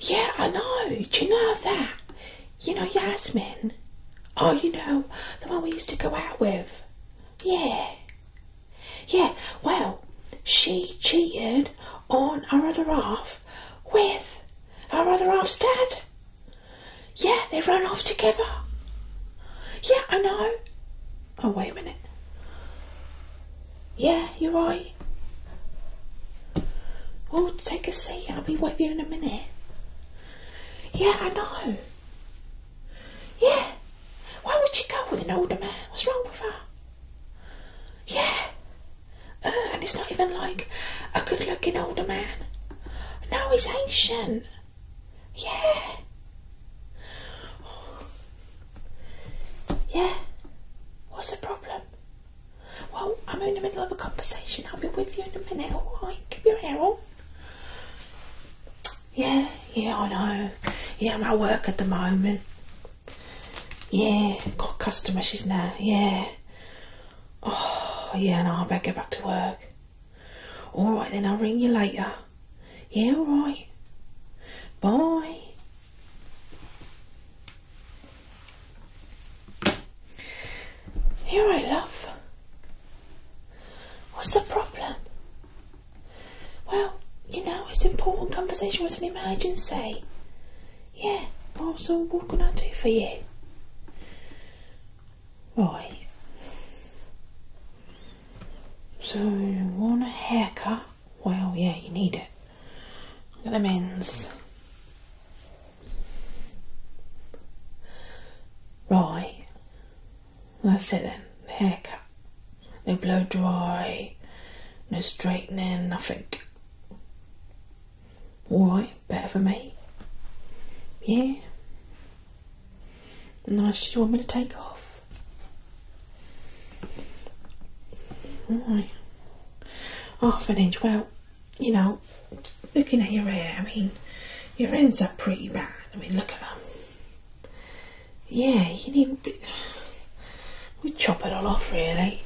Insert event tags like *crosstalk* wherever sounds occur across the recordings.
Yeah, I know. Do you know that? You know Yasmin? Oh, you know, the one we used to go out with. Yeah. Yeah, well, she cheated on her other half with her other half's dad. Yeah, they ran off together. Yeah, I know. Oh, wait a minute. Yeah, you're right. Oh, take a seat. I'll be with you in a minute. Yeah, I know. Yeah. Why would she go with an older man? What's wrong with her? Yeah. Uh, and it's not even like a good looking older man. No, he's ancient. Yeah. Yeah. What's the problem? Well, I'm in the middle of a conversation. I'll be with you in a minute, alright? Keep your hair on. Yeah, yeah, I know. Yeah, I'm at work at the moment. Yeah, got customer, she's now. Yeah. Oh, yeah, no, I better get back to work. All right, then I'll ring you later. Yeah, all right. Bye. Here, I love. What's the problem? Well, you know, it's important conversation was an emergency. Yeah, well, what can I do for you? Right. So you want a haircut? Well, yeah, you need it. Look at them ends. Right. That's it then. Haircut. No blow dry. No straightening. Nothing. All right. Better for me. Yeah. Nice. You want me to take off? Right. Half an inch. Well, you know, looking at your hair, I mean, your ends are pretty bad. I mean, look at them. Yeah, you need a bit. We chop it all off, really.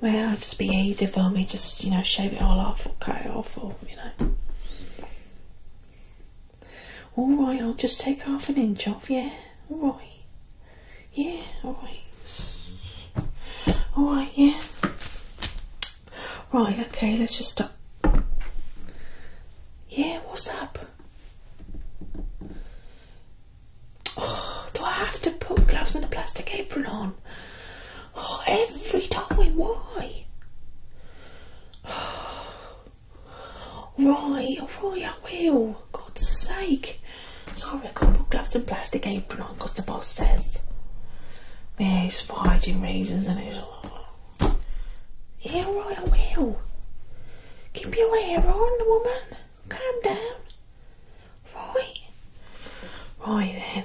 Well, it'd just be easy for me, just, you know, shave it all off or cut it off or, you know. All right, I'll just take half an inch off. Yeah, all right. Yeah, all right. All right, yeah. Right, okay, let's just stop. Yeah, what's up? Oh, do I have to put gloves and a plastic apron on? Oh, every time, why? *sighs* right, alright, I will. God's sake. Sorry, I got book gloves and plastic apron on because the boss says. Yeah, he's fighting razors and it's Here, alright, I will. Keep your hair on, woman. Calm down. Right. Right then.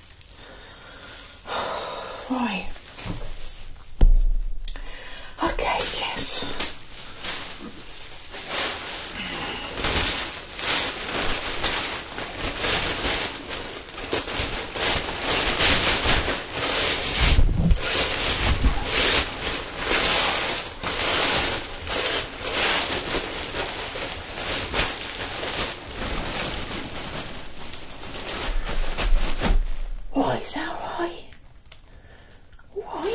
Right. Okay, yes. Why, is that right? Why?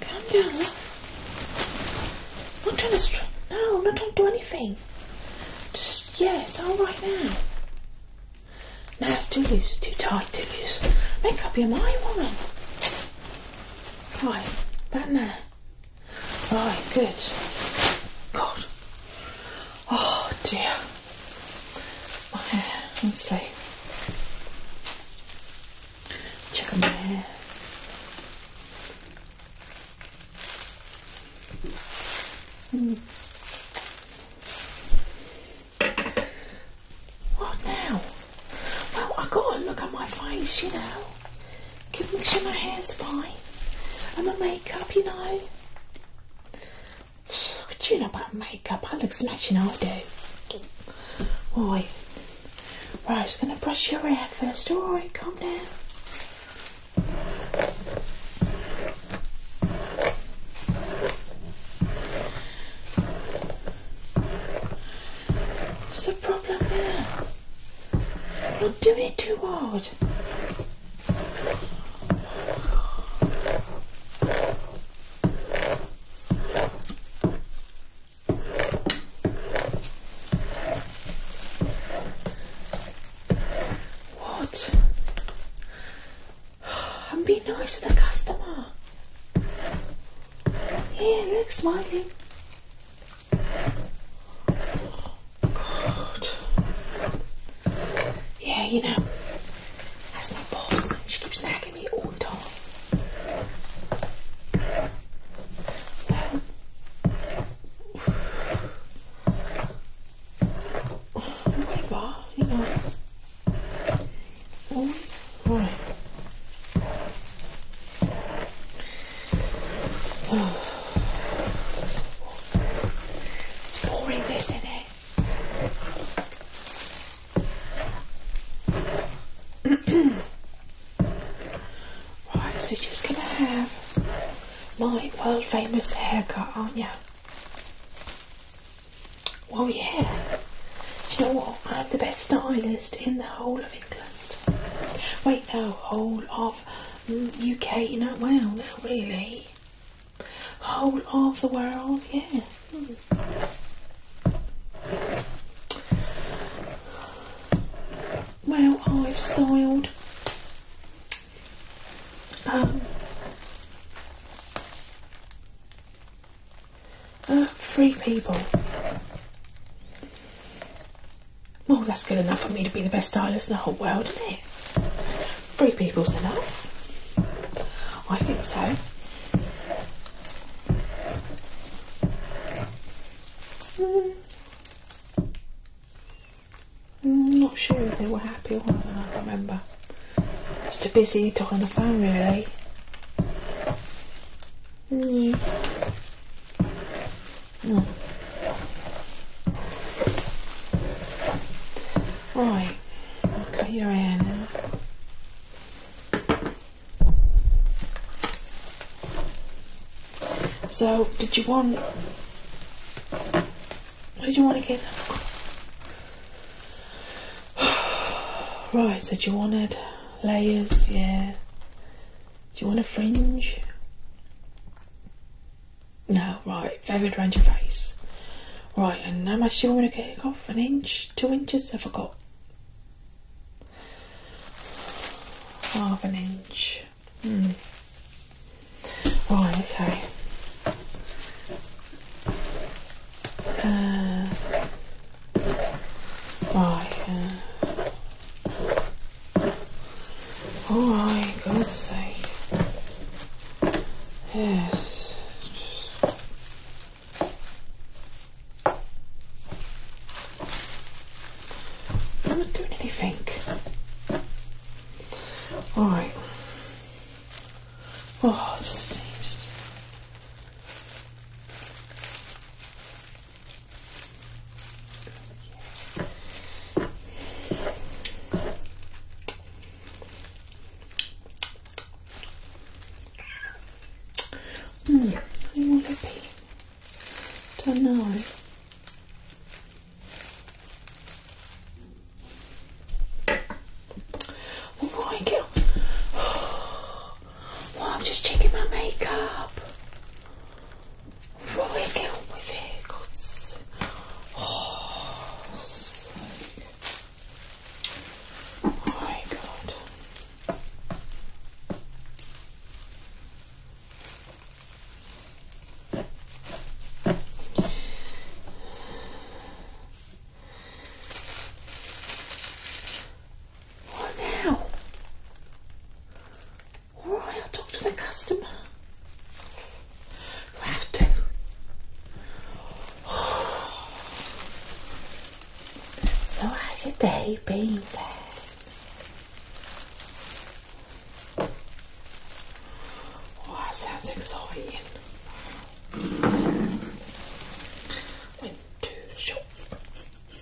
Calm down. I'm not trying to. Str no, I'm not trying to do anything. Just, yeah, it's alright now. Now it's too loose, too tight, too loose. Make up your mind, woman. Right, back there. Right, good. God. Oh dear. My hair, honestly. Check on my hair. Hmm. What now? Well, i got to look at my face, you know. Can make sure my hair's fine and my makeup, you know. *sighs* What do you know about makeup? I look smashing, I do. Boy. Right, I'm just going to brush your hair first. Alright, calm down. What's the problem here? I'm doing it too hard. What? *sighs* I'm being nice to the customer. Here, look, smiling. God. Yeah, you know, that's my boss. She keeps nagging me all the time. *sighs* Whatever, you know. All right. It's pouring this in it. *clears throat* right, so you just gonna have my world famous haircut, aren't you? Well, yeah. Do you know what? I'm the best stylist in the whole of England. Wait, no, whole of UK, you know, well, no, really. Whole of the world, yeah. Well, I've styled Free um, uh, people. Well, oh, that's good enough for me to be the best stylist in the whole world, isn't it? Three people's enough. I think so. I'm mm. not sure if they were happy or not, I can't remember. Just too busy talking on the phone, really. Mm. Mm. Right, I'll cut your hair now. So, did you want? What did you want again? *sighs* right, so you wanted layers, yeah. Do you want a fringe? No, right, Very range your face. Right, and how much do you want me to get off? An inch? Two inches? I forgot. Half an inch. Hmm. Right, okay. Uh, right, uh. Oh my God's sake. Yes. I'm not doing anything. Alright. Oh, just need it. Hmm, I want to be. Don't know. All right, girl. Oh, well, I'm just checking my makeup rolling out with it. God's oh, so good. my god. What oh now? All right, I'll talk to the customer. You have to. So how's your day been there? Oh, sounds exciting. Went to the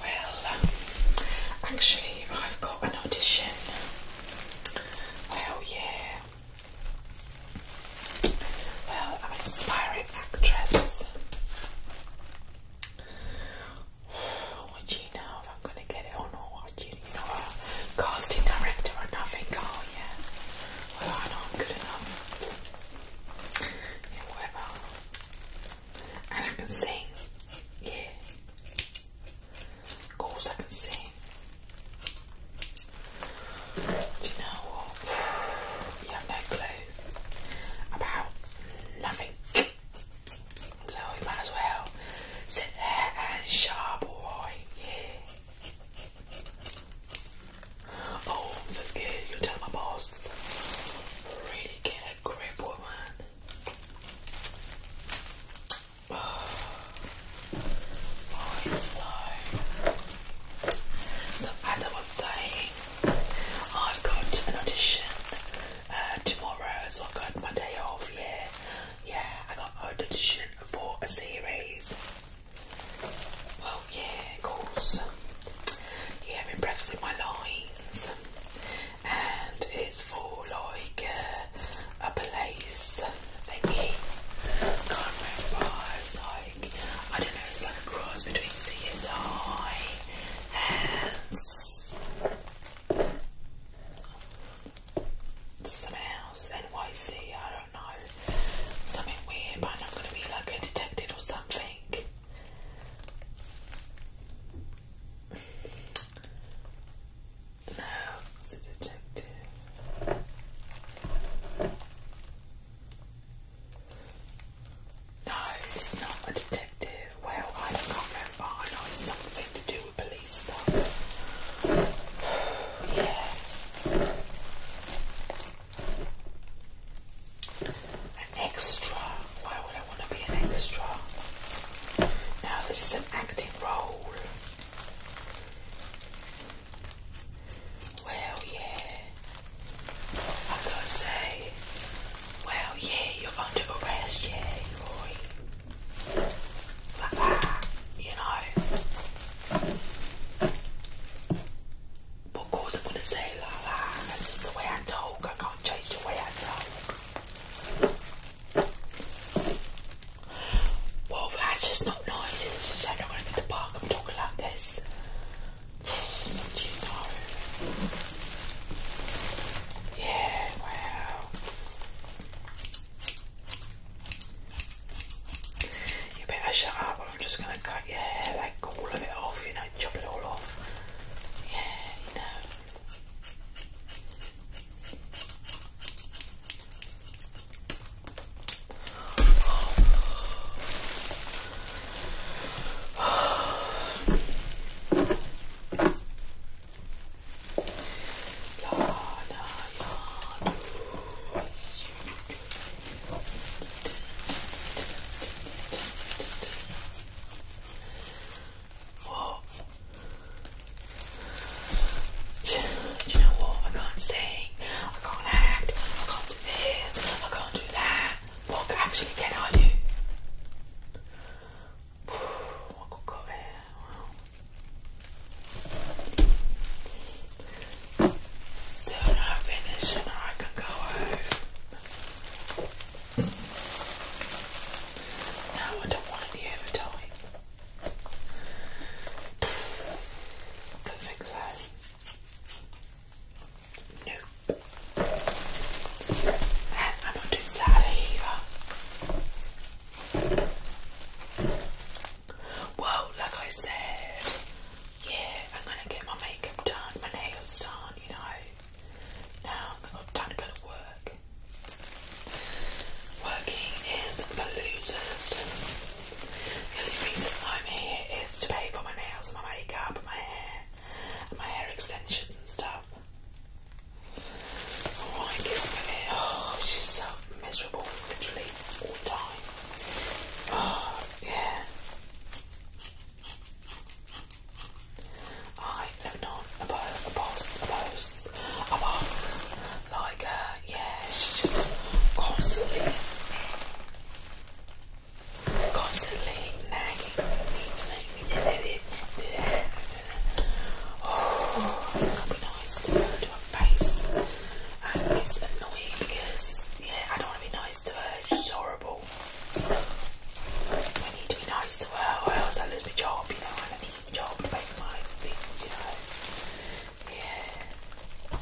Well, um, actually, I've got an audition. Well, yeah. Well, I'm an inspiring actress. *sighs* Oh, you know if I'm going to get it or not? what? You, you a casting director or nothing, are you? Well, I know i good enough. Yeah, And I can sing. Yeah. Of course I can sing. Do you know what? You have no clue about nothing so we might as well sit there and sharboy. Yeah. Oh, I'm You tell my boss. Really get a grip, woman. Oh, so. So as I was saying, I've got an audition uh, tomorrow, so I got my day off. Yeah, yeah, I got an audition for a series. Well, yeah, of course. Yeah, I've been practicing my lines, and it's for like uh, a place thingy. Can't remember. like I don't know. It's like a cross between CSI and. Something else, NYC, I don't know, something weird, but I'm not going to be like a detective or something. No, it's a detective. No, it's not a detective. Well, I can't remember. I know it's something to do an extra. Why would I want to be an extra? Now, this is an acting role. Well, yeah. I gotta say, well, yeah, you're under arrest, yeah, Roy you know. But of I'm gonna say that. That's just the way I talk. I can't change the way I talk. Well, that's just not nice. It's just like going in the park and talking like this. *sighs* Do you know? Yeah, well. You better shut up or I'm just going to cut your hair, like all of it off, you know, chop it all off. Yeah, you know. Whoa. You know what? I can't sing, I can't act, I can't do this, I can't do that. What actually can I do? What could go there? Soon I finish and I can go home. No, I don't want any overtime. I think so. And I'm not too sad either. Well, like I said, yeah, I'm gonna get my makeup done, my nails done, you know. Now I'm time to to work. Working is for losers. The only reason I'm here is to pay for my nails my makeup my hair my hair extensions and stuff. I want to get up Oh, she's so miserable, literally, all the time. Oh, yeah. I have not a boss, a boss, a boss, a boss. Like yeah, she's just constantly, constantly nagging me, nagging me, Oh, would be nice to, to her face. And it's annoying because, yeah, I don't want to be nice to her. She's horrible. I need to be nice to her or else I lose my job, you know, I need my job to make my things, you know. Yeah.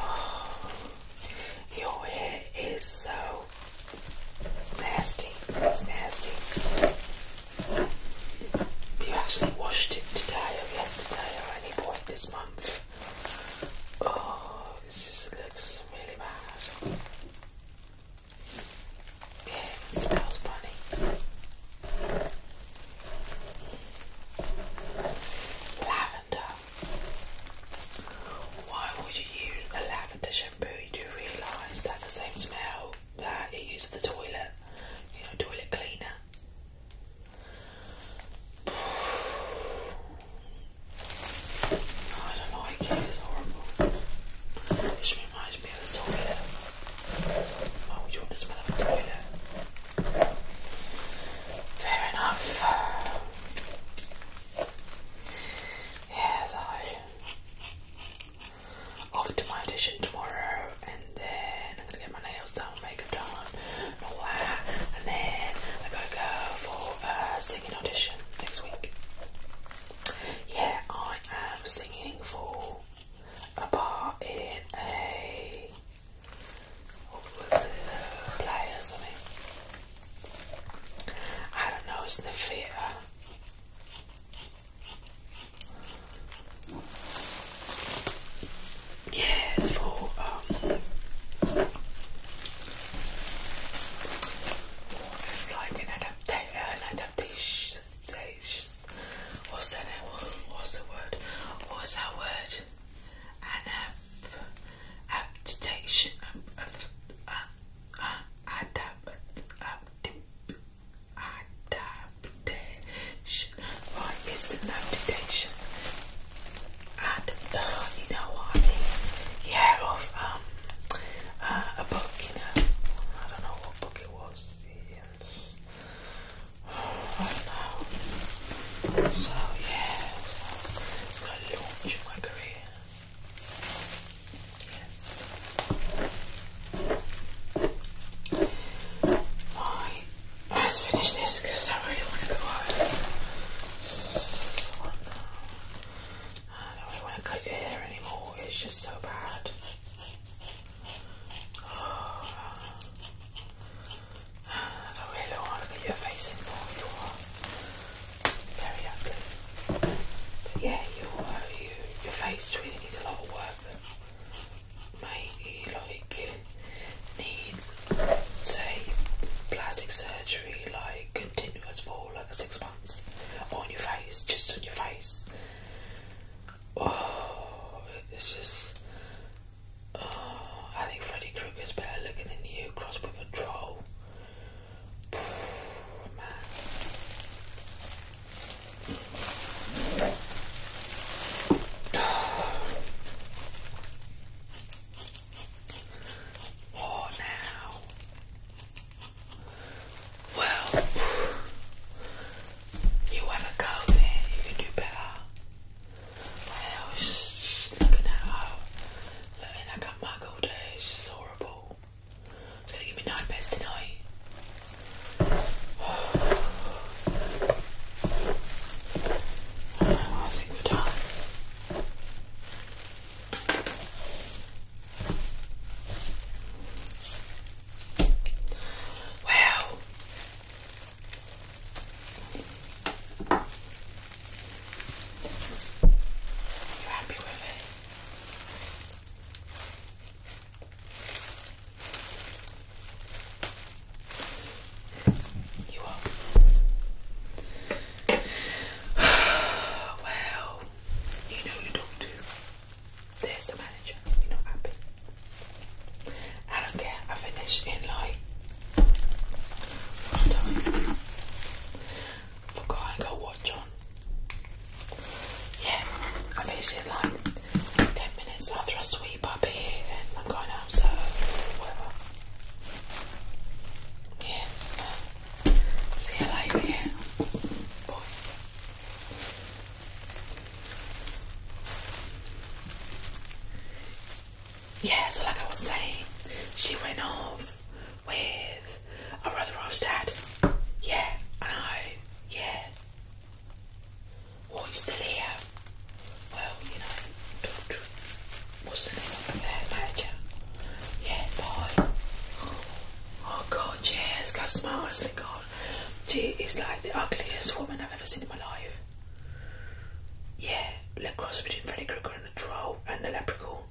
Oh, *sighs* your hair is so nasty. It's nasty. You actually washed it today or yesterday or any point this month. Oh, this just looks really bad. Yeah, it smells funny. Lavender. Why would you use a lavender shampoo? You realise that's the same smell that it uses the toilet, you know, toilet cleaner. *sighs* I don't like it, it's horrible. It just reminds me of the toilet. Why would you want to smell of a toilet? Fair enough. *sighs* Yeah, so off to my audition tomorrow, and then I'm gonna get my nails done, makeup done, and all that, and then I gotta go for a singing audition next week. Yeah, I am singing for a part in a what was it, a or something. I don't know, it's yeah, it's for um, it's like an adaptation, an adaptation. What's that? What's the word? What's that word? adaptation, uh, uh, adapt, ab, adaptation right it's an adaptation and uh, you know what I yeah of um uh, a book you know I don't know what book it was *sighs* I don't know so yeah so it's going my career yes I just finished this because I really want to go home. I don't really want to cut your hair anymore, it's just so bad. I don't really want to look your face anymore, you are very ugly. yeah, your, uh, your face really needs a lot of work maybe like need say plastic surgery like continuous for like six months on your face, just on your face. Oh, it's just. Oh, I think Freddy Krueger's better looking than you, Crossbow Patrol. *sighs* Man. Oh, now. Well, you have go there, you can do better. I looking at her, looking like a muggle there, she's horrible. gonna give me nightmares tonight. I think we're done. Wow. You happy with it? *sighs* well, you know you don't do. There's the manager. You're not happy. I don't care. I finish in like what time? Forgot I got watch on. Yeah, I finish in like 10 minutes after I sweep up here and I'm going out, so whatever. Yeah. Uh, see you later, yeah. Boy. Yeah, so like I was saying, she went off with a rather roast dad. Yeah, I know. Yeah, what, you still here? Well, you know, what's the name manager? Yeah, bye. Oh god, yes, customer, honestly, god. She is like the ugliest woman I've ever seen in my life. Yeah, like cross between Freddy Krueger and a troll and a leprechaun.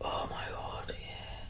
Oh my god, yeah.